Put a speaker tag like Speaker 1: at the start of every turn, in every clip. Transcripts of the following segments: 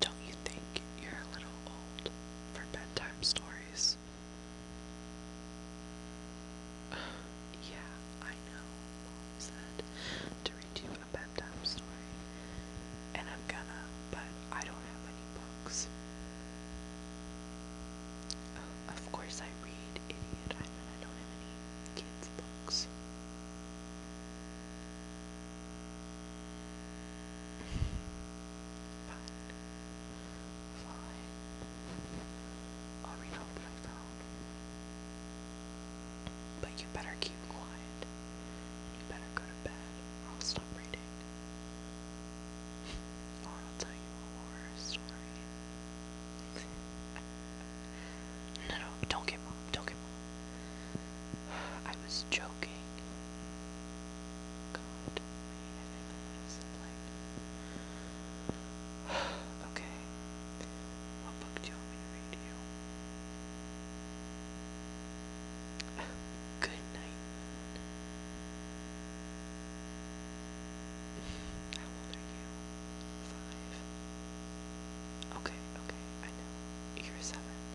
Speaker 1: Don't you think you're a little old for bedtime stories? yeah, I know, Mom said, to read you a bedtime story. And I'm gonna, but I don't have any books. of course I read, idiot. I I don't have any kids' books. Fine. I'll read off what But you better keep quiet. You better go to bed, I'll stop reading. or I'll tell you a horror story. no, don't get mom. Don't get mom. I was joking. God, I didn't know what was like. book you want me to Good night, Moon. How old you? Five. Okay, okay, I know. You're seven i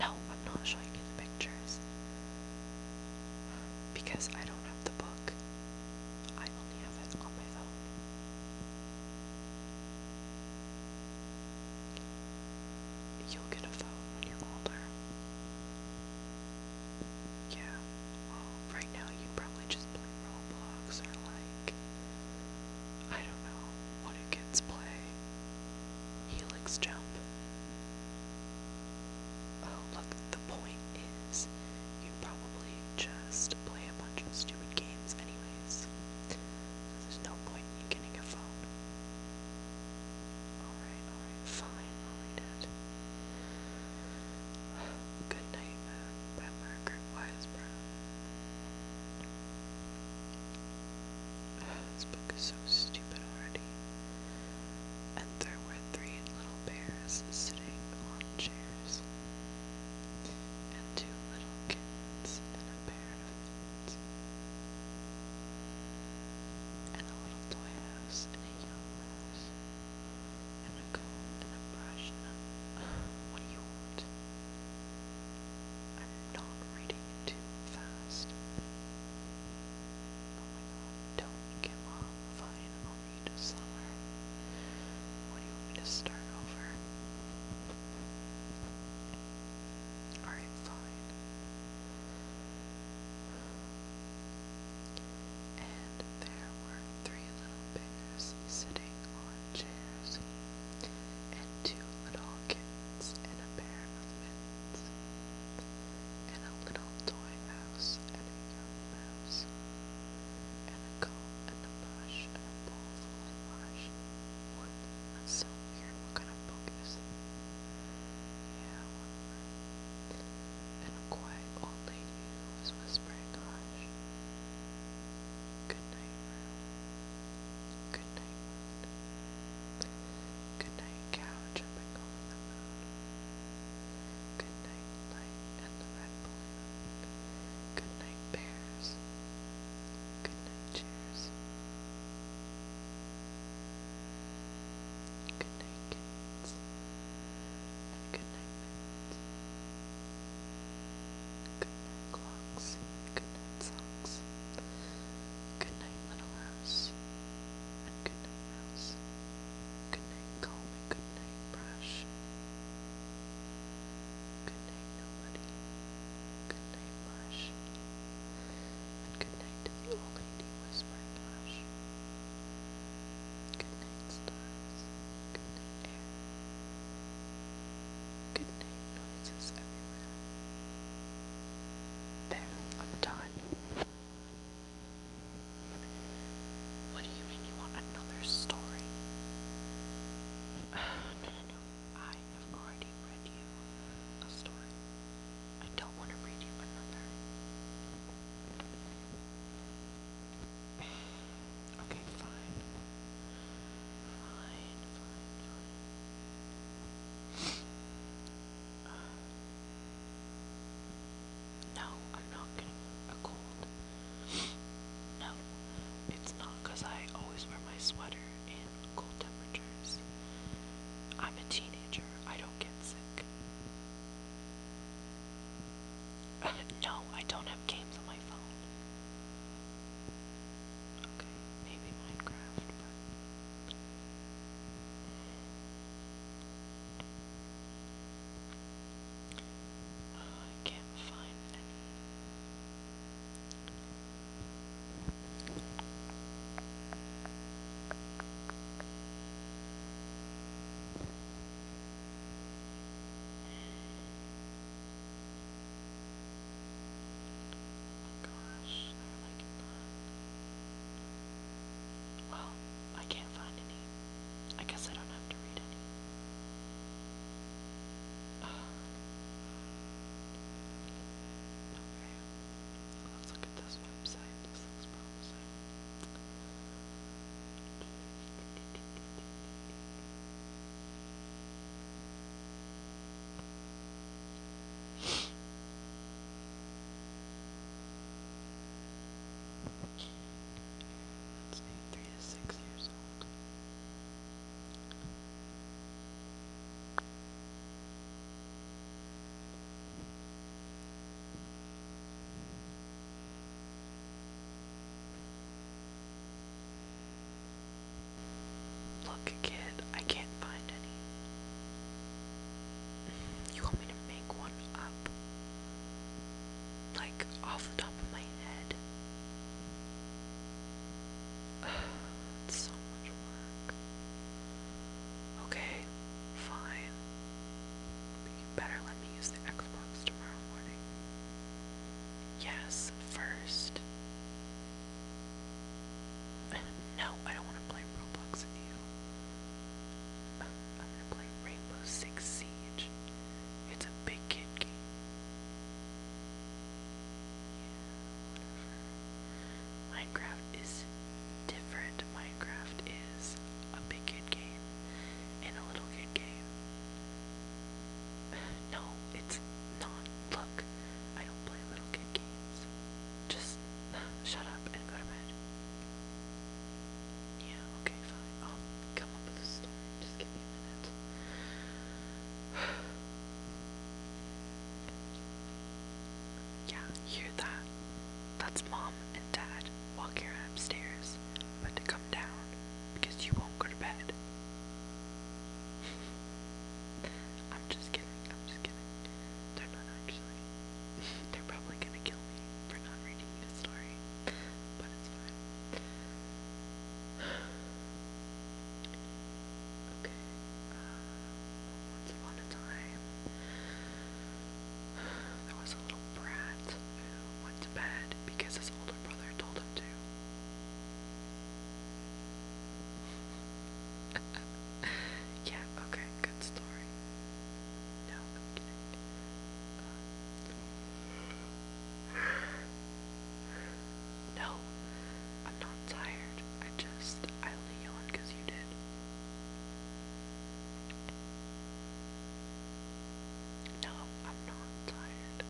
Speaker 1: No, I'm not showing you the pictures. Because I don't have the book. I only have it on my phone. You'll get a phone when you're older. Yeah. Well, right now you probably just play Roblox or like I don't know, what do kids play? Helix jump. Oh, look, the point is you probably just play a bunch of stupid games anyways. There's no point in getting a phone. Alright, alright, fine, I'll Good Night Moon uh, by Margaret Wiseborough. This book is so stupid already. And there were three little bears sitting on chairs, and two little kittens, and a pair of kittens, and a little toy house, and a young lass, and a brush what do you want? I'm not reading too fast. don't give up. Fine, I'll read slower. What do you want to start over? Alright, fine. And there were three little bears sitting on chairs, and two little kittens, and a pair of mittens, and a little toy mouse, and a young mouse, and a comb, and a brush, and a bowl full of wash. What? That's kind of book yeah, And a quiet old lady who was whispering hush. Good night, room. Good night, moon. Good night, cow jumping over the moon. Good night, light and the red balloon. Good night, bears. Good night, cheers. Good night, kids. And good night, kids. Good night, clocks. Good night, socks. Good night, little house. And good night, mouse. Good night, comb. And good night, brush. Good night, nobody. Good night, Lush. And good night to the old lady whispering Lush. Good night, stars. Good night, air. Good night, noises everywhere. There, I'm done. What do you mean you want another story? I have already read you a story. I don't want to read you another. Okay, fine. Fine, fine, fine. no, I'm not getting a cold. No, it's not I always wear my sweater in cold temperatures. I'm a teenager, I don't get sick no, I don't have games on my phone. Okay, maybe Minecraft, but. I can't find any. Oh gosh, they're like Well, I can't find any. I guess I don't have to read it. okay, let's look at this website. Let's say three to six years old. Look, kid, I can't find any. You want me to make one up? Like, off the top of my head? It's so much work. Okay, fine you better let me use the Xbox tomorrow morning. Yes, first. No, I don't want to play Roblox with you. I'm gonna play Rainbow Six Siege. It's a big kid game. Yeah, whatever. Minecraft is different. Minecraft is a big kid game and a little kid game. No, it's not. Look, I don't play little kid games. Just shut up and go to bed. Yeah, okay, fine. I'll come up with a story. Just give Yeah, hear that? That's mom and dad walking her upstairs, but to come down because you won't go to bed. I'm just kidding, I'm just kidding. not actually. They're probably gonna kill me for not reading you story, but it's fine. Okay, uh, once upon a time, there was a little brat who went to bed because his older brother told him to. yeah, okay, good story. Uh, no, I'm not tired. I just, I only yawned because you did. No, I'm not tired.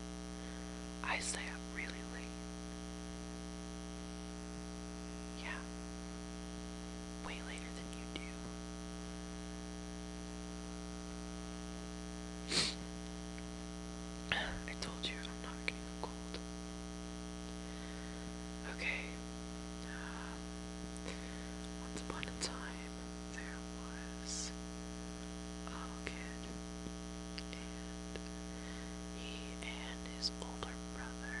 Speaker 1: I stay up really late. Yeah. Way later than you do. I told you I'm not getting a cold. Okay. Uh, once upon a time, there was a little kid, and he and his older brother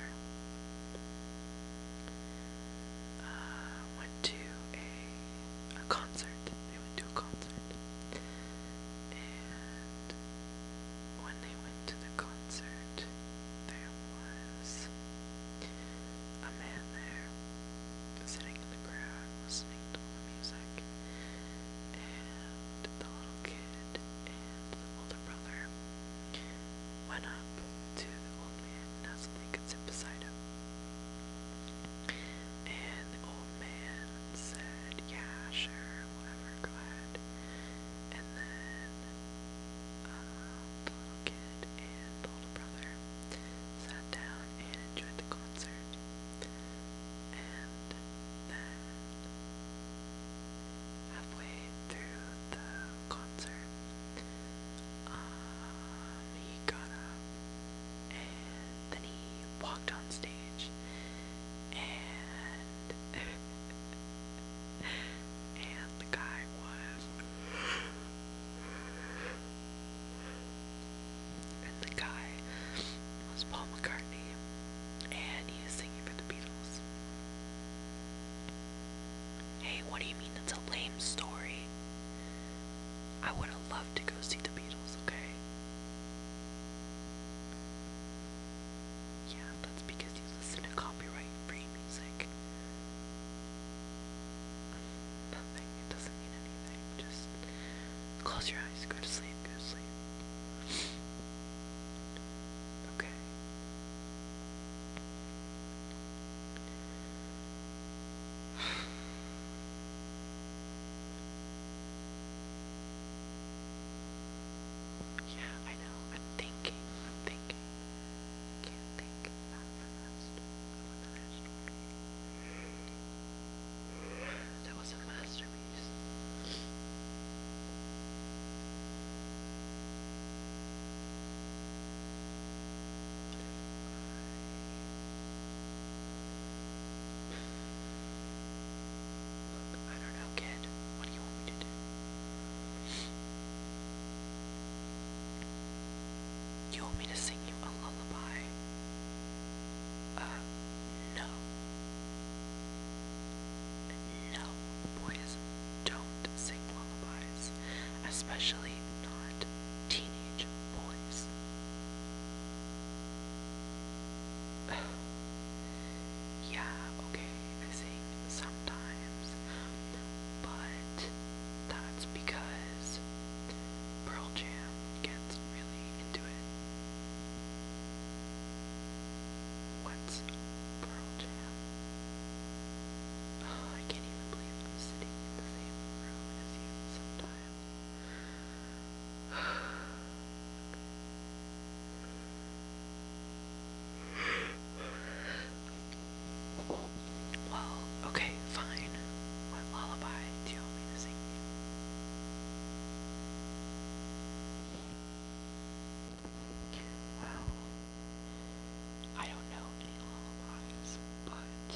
Speaker 1: uh, went to a a concert. They went to a concert, and when they went to the concert, there was a man there sitting in the crowd listening to music, and the little kid and the older brother went up to the old man and asked if they could sit beside him. And the old man said, Yeah, sure, whatever, go ahead and then the uh, little kid and the little brother sat down and enjoyed the concert. And then halfway through the concert, um, he got up and then he walked on stage and and the guy was and the guy was Paul McCartney and he was singing for the Beatles. Hey, what do you mean it's a lame story? I would have loved to go see the Beatles, okay? Yeah, that's because you listen to copyright free music. Nothing, it doesn't mean anything. Just close your eyes, go to sleep, go to sleep. Okay. Yeah, I know. I'm thinking. I'm thinking can't think of that from another story. That was a masterpiece. I don't know, kid. What do you want me to do? You want me to sing you a lullaby? Uh, no. No, boys don't sing lullabies, especially not teenage boys. yeah, okay busy sometimes, but that's because Pearl Jam gets really into it. What's Pearl Jam? Oh, I can't even believe I'm sitting in the same room as you sometimes. Well, okay, fine. What lullaby do you want me to sing you? Well, I don't know any lullabies, but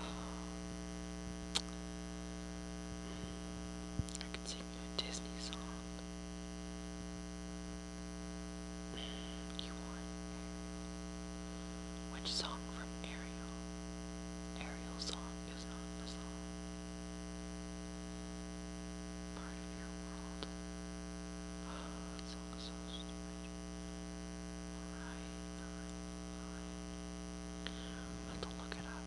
Speaker 1: um, I could sing Disney song. Which song from Ariel? Ariel's song is not the song. Part of your world. Oh, that song so stupid. Alright, alright, alright. let look it up.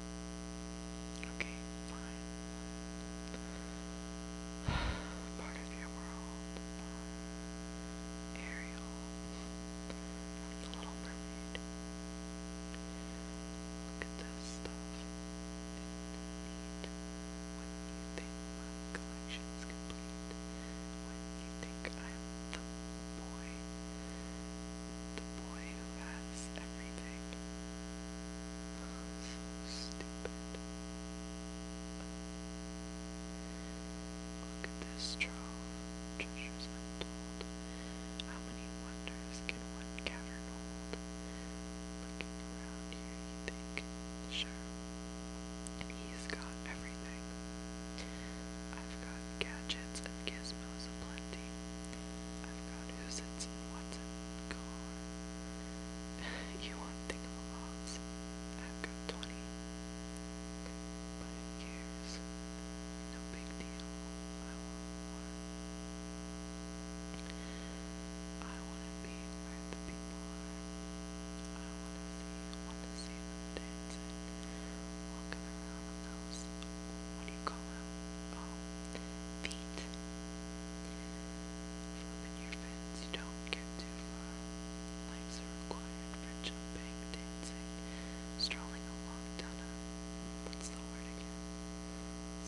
Speaker 1: Okay, fine. Part of your world. Ariel. From the Little Mermaid. Look at this stuff. It's neat. you think my collection is complete. When you think I'm the boy the boy who has everything. So stupid. Look at this trove of treasures How many wonders can one cavern hold? Looking sure, he's got everything. I've got got gadgets and gizmos aplenty. I've got who's it's and what's go on. you want thingamabobs? I've got 20. But who No big deal. I want one. I want to be where I want to see, want dancing, walking around the house what do you call them? feet. Flipping your fins, don't get too far. Legs are required for jumping, dancing, strolling along down a, what's the word again?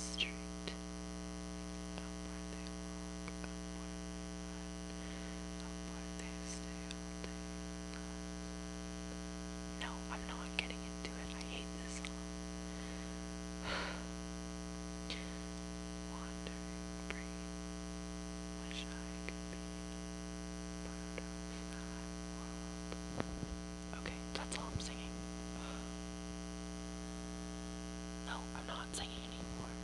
Speaker 1: Street. Up where they walk, up where they run, up where they stay all day. No, I'm not getting into it. I hate this song. Okay, that's all I'm singing. No, I'm not singing anymore.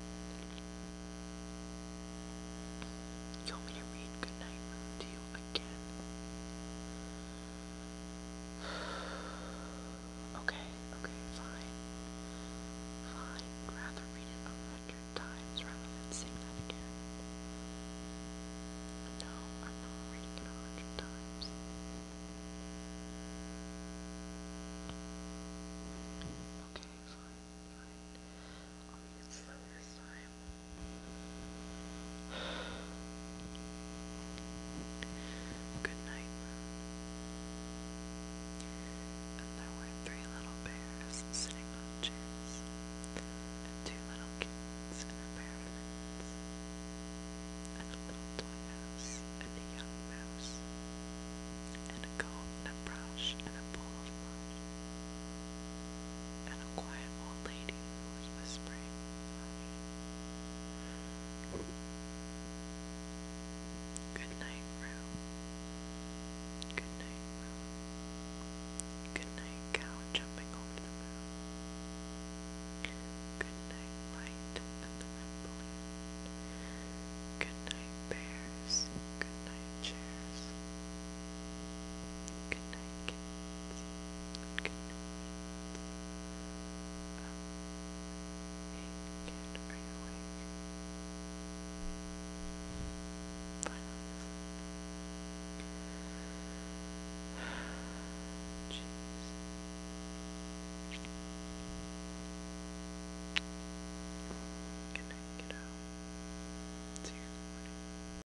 Speaker 1: You want me to read Goodnight Moon to you again. Okay, okay, fine. Fine. Rather read it a hundred times rather than sing that again. No, I'm not reading it a hundred times. Okay, fine, fine. I'll read it slower, fine. Good night. And there were three little bears sitting on chairs, and two little kids in a pair and a little mouse, and a young mouse, and a comb and a brush and a bowl of mud and a quiet old lady who was whispering sorry. Good night, room. Good night, room. Good night, cow jumping over the moon. Good night, light and the rippling. Good night, bears. Good night, chairs. Good night, Good night, kiddo. See you in the morning.